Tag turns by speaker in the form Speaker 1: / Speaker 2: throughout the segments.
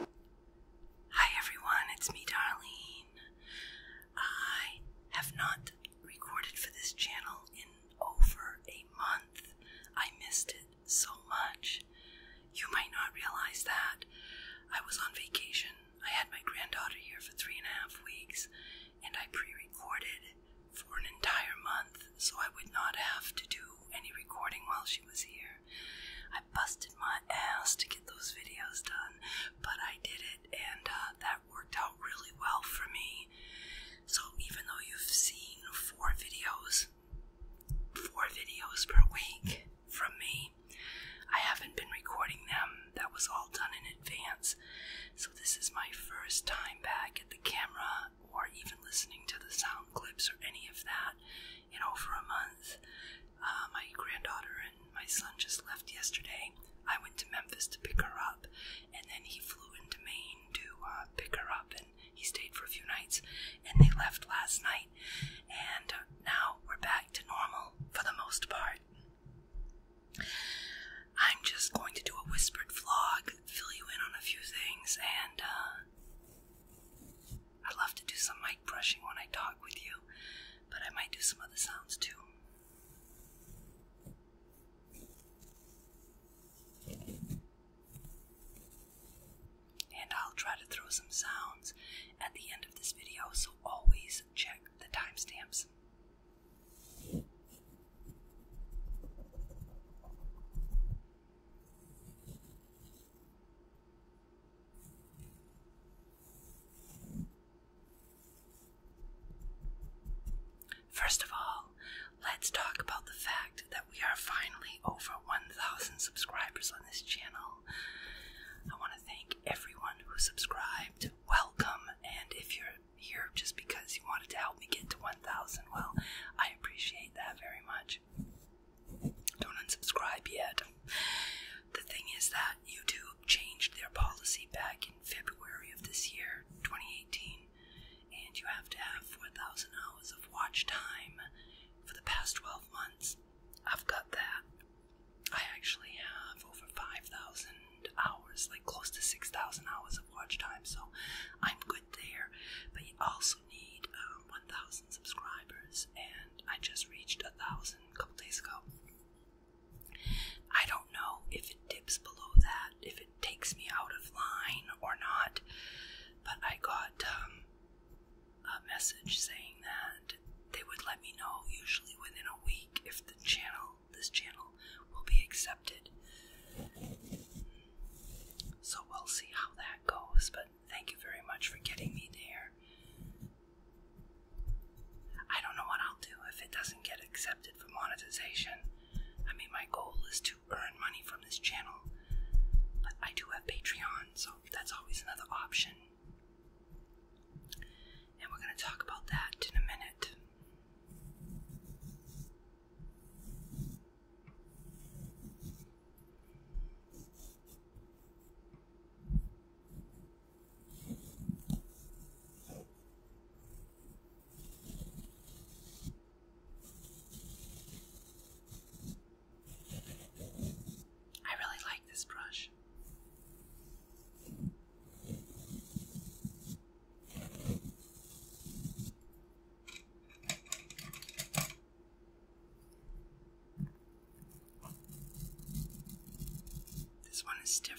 Speaker 1: Hi everyone, it's me Darlene. I have not recorded for this channel in over a month. I missed it so much. You might not realize that. I was on vacation. I had my granddaughter here for three and a half weeks and I pre recorded for an entire month so I would not have to do any recording while she was here busted my ass to get those videos done, but I did it, and uh, that worked out really well for me. So even though you've seen four videos, four videos per week from me, I haven't been recording them. That was all done in advance. So this is my first time back at the camera or even listening to the sound clips or any of that you know, for a month. Uh, my granddaughter and my son just left yesterday. I went to Memphis to pick her up, and then he flew into Maine to uh, pick her up, and he stayed for a few nights, and they left last night. And uh, now we're back to normal for the most part. I'm just going to do a whispered vlog, fill you in on a few things, and uh, I'd love to do some mic brushing when I talk with you, but I might do some other sounds too. And I'll try to throw some sounds at the end of this video, so always check the timestamps. First of all, let's talk about the fact that we are finally over 1,000 subscribers on this channel. I want to thank everyone who subscribed. Welcome, and if you're here just because you wanted to help me get to 1,000, well, I appreciate that very much. Don't unsubscribe yet. The thing is that YouTube changed their policy back in February of this year, 2018, and you have to have 4,000 hours of watch time for the past 12 months. I've got that. I actually have over 5,000 hours, like close to 6,000 hours of watch time, so I'm good there. But you also need um, 1,000 subscribers, and I just reached a 1,000 a couple days ago. I don't know if it dips below that, if it takes me out of line or not, but I got um, a message saying that they would let me know usually within a week if the channel, this channel, will be accepted. So we'll see how that goes, but Thank you very much for getting me there. I don't know what I'll do if it doesn't get accepted for monetization. I mean, my goal is to earn money from this channel, but I do have Patreon, so that's always another option. And we're going to talk about that in a minute. I really like this brush. This one is stiffer.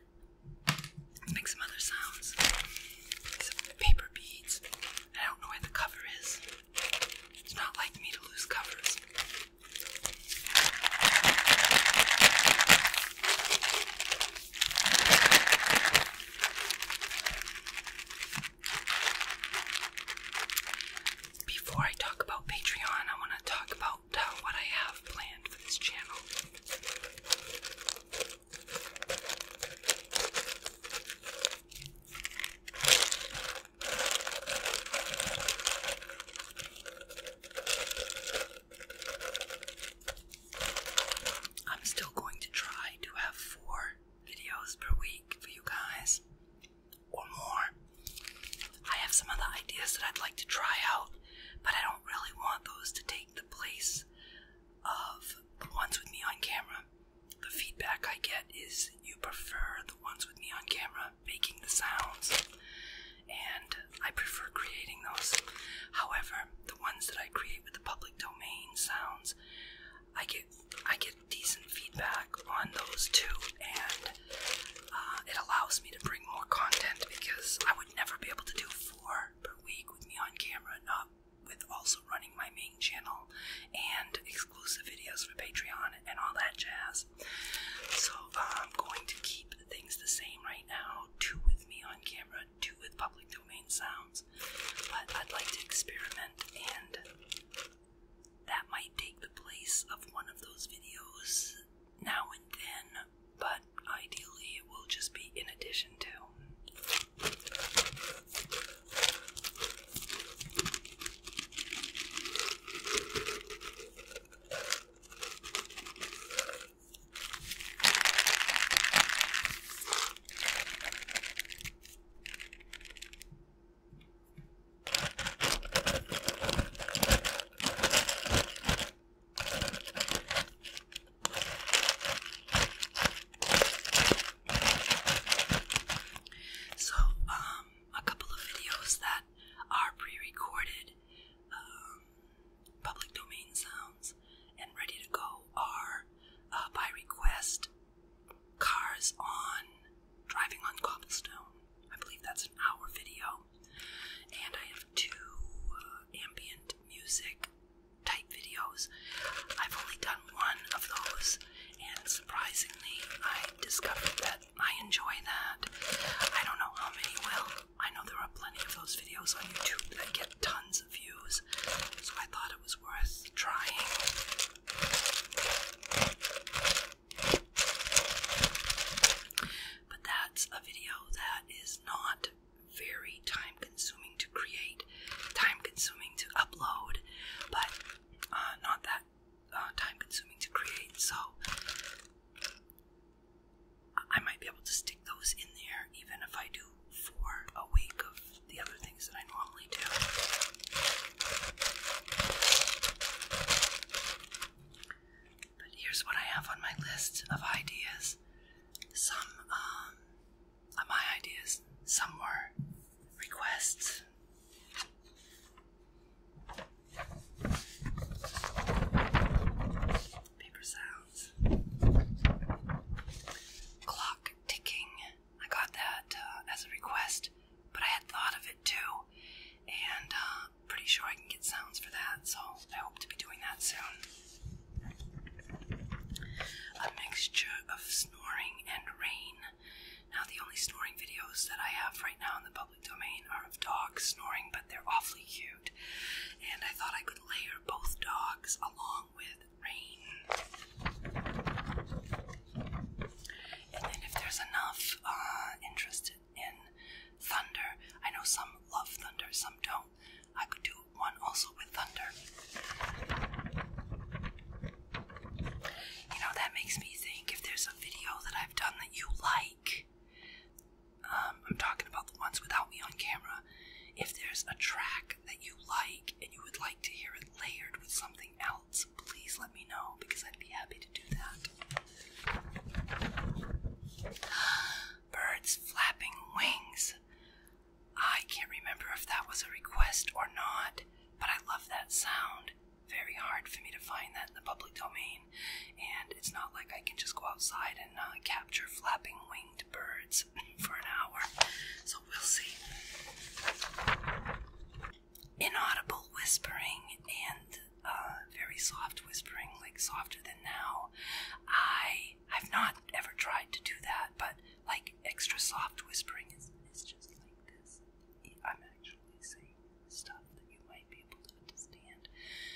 Speaker 1: Make some other sounds. Some paper beads. I don't know where the cover is. It's not like me to lose covers. Before I talk about Patreon, I want to talk about what I have planned for this channel. I'm still going to try to have four videos per week for you guys or more. I have some other ideas that I'd like to try out but I don't really want those to take the place of the ones with me on camera. The feedback I get is you prefer the ones with me on camera making the sounds, and I prefer creating those. However, the ones that I create with the public domain sounds, I get I get decent feedback on those too, and uh, it allows me to bring more content because I would never be able to do per week with me on camera, not with also running my main channel and exclusive videos for Patreon and all that jazz. So uh, I'm going to keep things the same right now. Two with me on camera, two with public domain sounds. But I'd like to experiment and that might take the place of one of those videos now and then, but ideally it will just be in addition to. So, um, a couple of videos that are pre-recorded, um, public domain sounds, and ready to go are uh, by request. Cars on driving on cobblestone. I believe that's an hour video and I have two uh, ambient music type videos. I've only done one of those, and surprisingly, I discovered that I enjoy that. I don't know how many will. I know there are plenty of those videos on YouTube that get tons of views, so I thought it was worth trying. But that's a video that is not very time consuming to create, time consuming to upload, but uh, not that uh, time consuming to create. So I might be able to stick those in there even if I do for a week of the other things that I normally do. But here's what I have on my list of ideas. Some um, my ideas, some were requests. Paper sounds. Clock ticking. I got that uh, as a request, but I had thought of it too, and uh, pretty sure I can get sounds for that, so I hope to be doing that soon. A mixture of snoring and rain. Now, the only snoring videos that I have right now in the public domain are of dogs snoring, but they're awfully cute. And I thought I could layer both dogs along with rain. And then, if there's enough uh, interest in thunder, I know some love thunder, some don't. I could do one also with thunder. You know, that makes me think if there's a video that I've done that you like, um, I'm talking about the ones without me on camera. If there's a track that you like and you would like to hear it layered with something else, please let me know because I'd be happy to do that birds flapping wings. I can't remember if that was a request or not, but I love that sound. Very hard for me to find that in the public domain, and it's not like I can just go outside and uh, capture flapping winged birds for an hour. So we'll see. Inaudible whispering and uh, very soft whispering, like softer than now. I I've not ever tried to do that, but like extra soft whispering is, just like this. I'm actually saying stuff that you might be able to understand.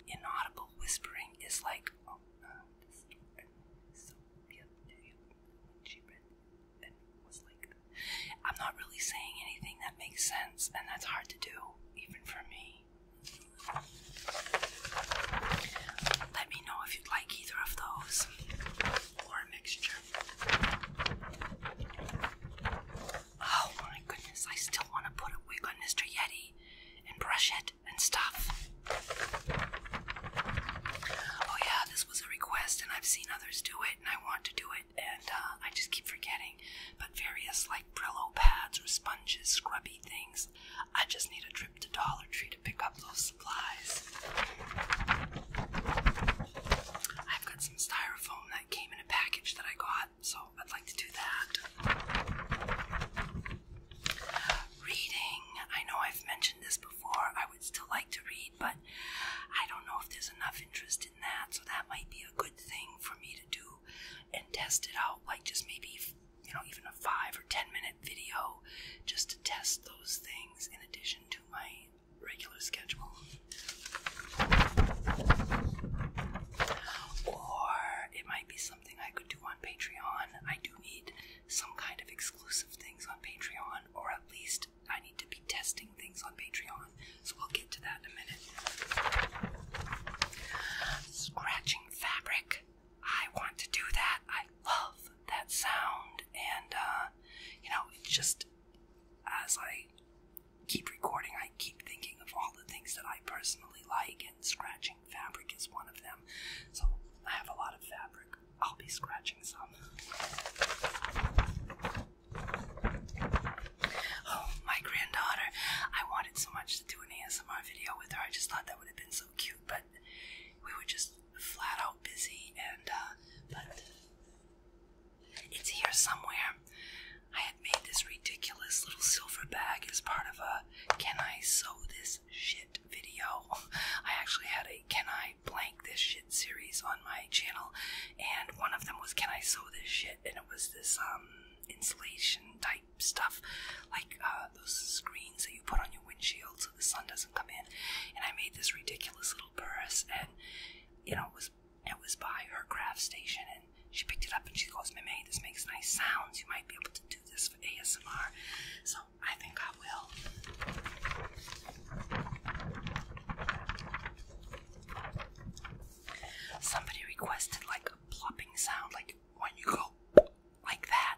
Speaker 1: Inaudible whispering is like, I'm not really saying anything that makes sense, and that's hard to do, even for me. Let me know if you'd like either of those or a mixture. Oh my goodness, I still want to put a wig on Mr. Yeti and brush it and stuff. Oh, yeah, this was a request, and I've seen others do it, and I want to do it, and uh, I just keep forgetting. But various, like Brillo pads or sponges, scrubby things, I just need a trip to Dollar Tree to pick up those supplies. I've got some styrofoam that came in a package that I got, so I'd like to do that. Reading. I know I've mentioned this before. I would still like to read, but I don't know if there's enough interest in that, so that might be a good thing for me to do and test it out. Like, just maybe you know, even a five or ten minute video just to test those things in addition to my regular schedule. Or it might be something I could do on Patreon. I do need some kind of exclusive things on Patreon, or at least I need to be testing things on Patreon, so we'll get to that in a minute. Scratching fabric. I want to do that. I love that sound, and uh, you know, just as I keep recording, I keep thinking of all the things that I personally like, and scratching fabric is one of them. So I have a lot of fabric. I'll be scratching some. Oh, my granddaughter. I wanted so much to do an ASMR video with her. I just thought that would have been so cute, but we were just flat out busy and uh, but it's here somewhere. I had made this ridiculous little silver bag as part of a can I sew this shit video. I actually had a can I blank this shit series on my channel and one of them was can I sew this shit and it was this um insulation type stuff, like uh, those screens that you put on your windshield so the sun doesn't come in. And I made this ridiculous little purse, and you know, it was it was by her craft station, and she picked it up and she goes, "Meme, this makes nice sounds. You might be able to do this for ASMR." So I think I will. Somebody requested like a plopping sound, like when you go like that,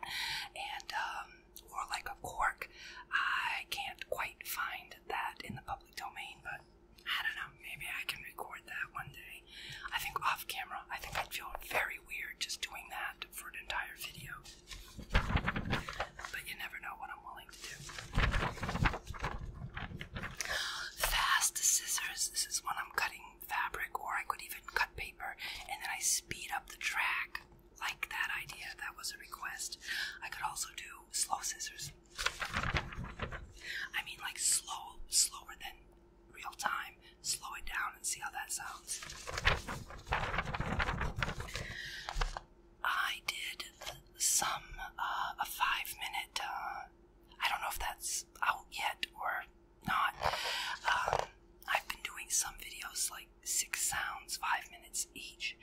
Speaker 1: and um, or like a cork. I can't quite find that in the public domain, but I don't know. Maybe I can record that one day. I think off camera. I think I'd feel very weird just doing that for an entire video. But you never know what I'm willing to do. Fast scissors. This is when I'm cutting fabric, or I could even cut paper, and then I speed up the track. Like that idea, that was a request. I could also do slow scissors. I mean, like slow, slower than real time. Slow it down and see how that sounds. I did some uh, a five minute. Uh, I don't know if that's out yet or not. Um, I've been doing some videos like six sounds, five minutes each,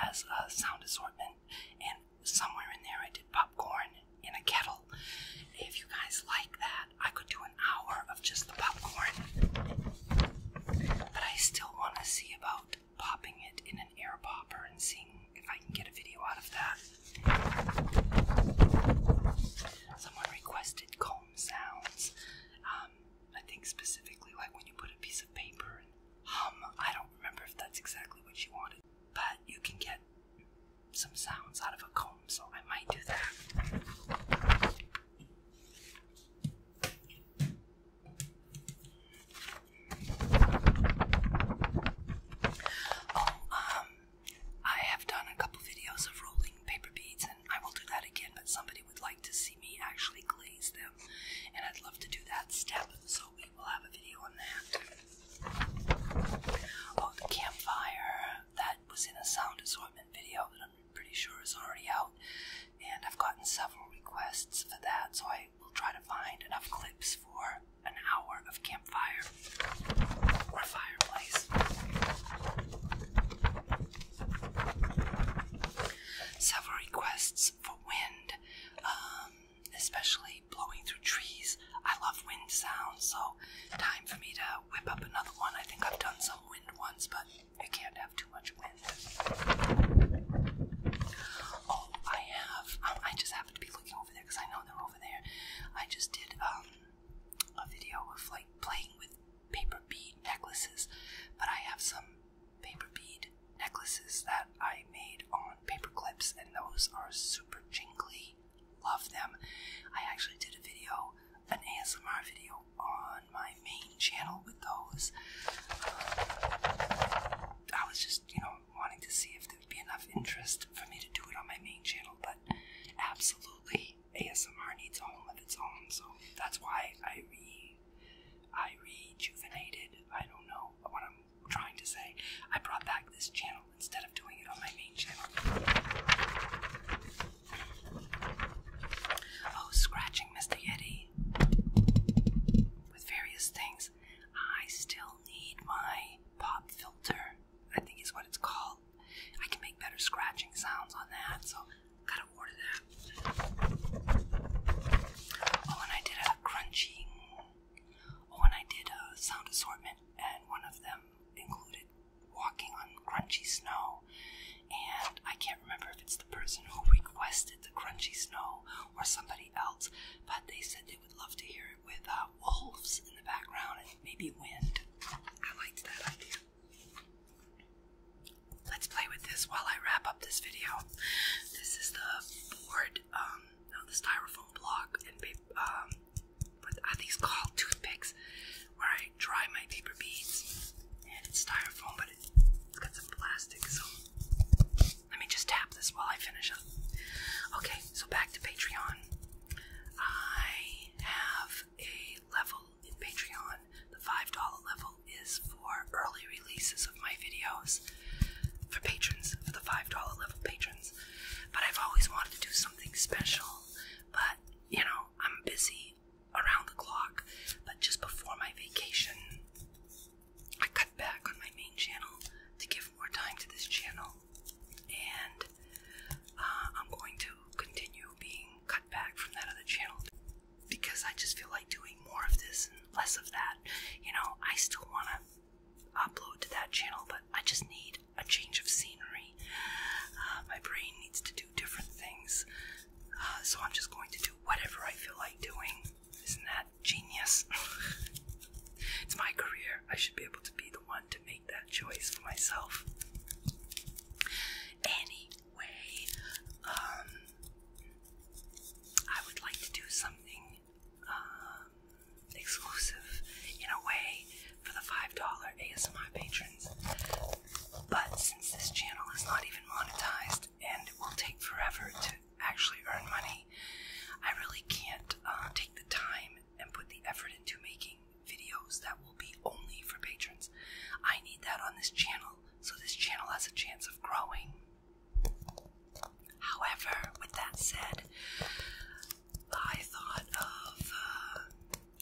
Speaker 1: as a sound assortment, and somewhere in there I did popcorn in a kettle. If you guys like that, I could do an hour of just the popcorn. But I still want to see about popping it in an air popper and seeing if I can get a video out of that. Someone requested Coleman sounds. Um, I think specifically like when you put a piece of paper and hum. I don't remember if that's exactly what you wanted, but you can get some sounds out of a comb, so I might do that. Oh, um, I have done a couple videos of rolling paper beads, and I will do that again, but somebody would like to see me actually glaze them, and I'd love to do that step, so we will have a video on that. Oh, the campfire, that was in a sound assortment video that I'm pretty sure is already out, and I've gotten several requests for that, so I will try to find enough clips for an hour of campfire, Several requests for wind, um, especially blowing through trees. I love wind sounds, so time for me to whip up another one. I think I've done some wind ones, but you can't have too much wind. Oh, I have. Um, I just happen to be looking over there because I know they're over there. I just did um, a video of like playing with paper bead necklaces, but I have some paper bead necklaces that I made on paper clips, and those are super jingly. Love them. I actually did a video, an ASMR video, on my main channel with those. Um, I was just, you know, wanting to see if there would be enough interest for me to do it on my main channel, but absolutely ASMR needs a home of its own, so that's why I re I rejuvenated. I don't know what I'm trying to say. I brought back this channel instead of doing it on my main channel. Oh, scratching Mr. Yeti with various things. I still need my pop filter. I think is what it's called. I can make better scratching sounds on that, so gotta order that. Oh, and I did a crunching. Oh, and I did a sound assortment, and one of them included walking on crunchy snow. And I can't remember if it's the person who requested the crunchy snow or somebody else, but they said they would love to hear it with uh, wolves in the background and maybe wind. I liked that idea. Let's play with this while I wrap up this video. This is the board, um, no, the styrofoam block, and um, what are these called? Toothpicks, where I dry my paper beads. And it's styrofoam, but it's got some plastic, so let me just tap this while I finish up. Okay, so back to Patreon. I have a level in Patreon. The $5 level is for early releases of my videos for patrons, for the $5 level patrons. But I've always wanted to do something special, but you know, I'm busy around the clock. But just before my vacation, I cut back on my main channel to give more time to this channel, and uh, I'm going to continue being cut back from that other channel because I just feel like doing more of this and less of that. You know, I still want to upload to that channel, but I just need a change of scenery. Uh, my brain needs to do different things, uh, so I'm just going to do whatever I feel like doing. Isn't that genius? it's my career. I should be able to be the one to make that choice for myself. Anyway, um, I would like to do something um, exclusive in a way for the $5 ASMR patrons. But since this channel is not even monetized and it will take forever to actually earn money, I really can't uh, take the time and put the effort into making videos that will be only for patrons. I need that on this channel so this channel has a chance of growing. However, with that said, I thought of uh,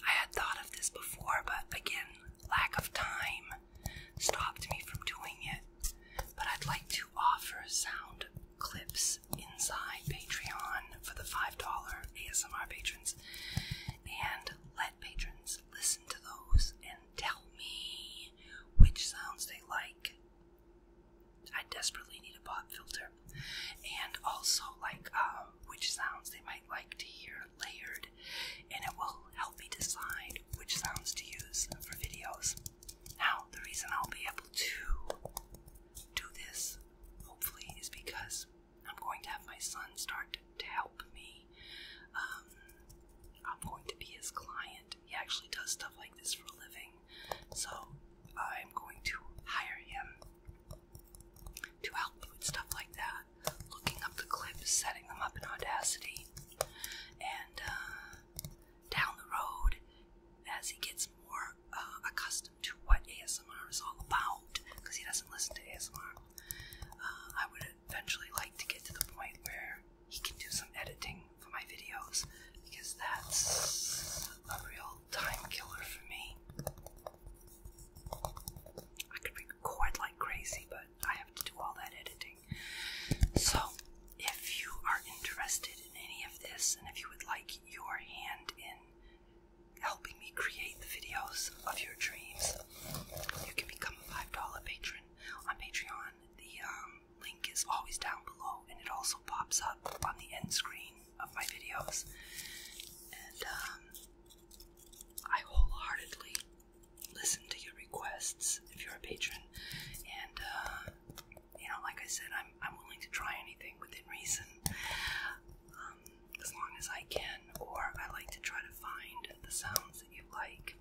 Speaker 1: I had thought of this before, but again, lack of time stopped me from doing it. But I'd like to offer sound clips inside Patreon for the $5 ASMR patrons. And let patrons listen to those and tell me which sounds they like. I desperately need a pop filter. And also, like, um, which sounds they might like to hear layered, and it will help me decide which sounds to use for videos. Now, the reason I'll be able to do this, hopefully, is because I'm going to have my son start to, help me. Um, I'm going to be his client. He actually does stuff like this for a living. So I'm going to hire him to help me with stuff like that. Looking up the clips, setting them up in Audacity. And uh, down the road, as he gets more uh, accustomed to what ASMR is all about, because he doesn't listen to ASMR, uh, I would eventually like to get to the point where he can do some editing for my videos because that's a real time killer for me. I could record like crazy, but I have to do all that editing. So, if you are interested in any of this and if you would like your hand in helping me create the videos of your dreams. You can become a $5 patron on Patreon. The um, link is always down below, and it also pops up on the end screen of my videos. And um, I wholeheartedly listen to your requests if you're a patron. And, uh, you know, like I said, I'm, I'm willing to try anything within reason. Um, as long as I can, or I like to try to find the sounds that you like.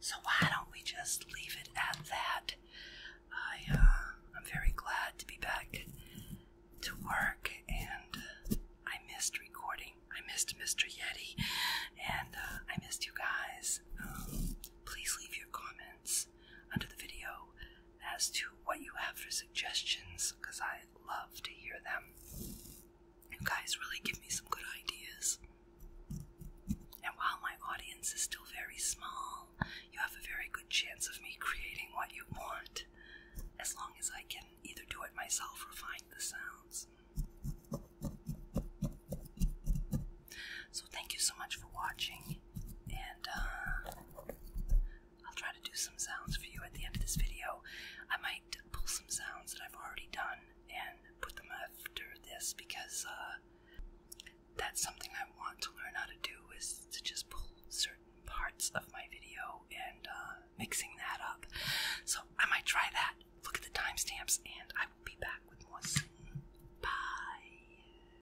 Speaker 1: So why don't we just leave it at that? I uh, I'm very glad to be back to work, and I missed recording. I missed Mr. Yeti, and uh, I missed you guys. Um, please leave your comments under the video as to what you have for suggestions because I love to hear them. You guys really give me some good ideas. And while my audience is still very small, you have a very good chance of me creating what you want as long as I can either do it myself or find the sounds. So, thank you so much for watching and uh, I'll try to do some sounds for you at the end of this video. I might pull some sounds that I've already done and put them after this because uh, that's something I want to learn how to do is to just pull certain parts of my video and uh, mixing that up. So I might try that. Look at the timestamps and I will be back with more soon. Bye.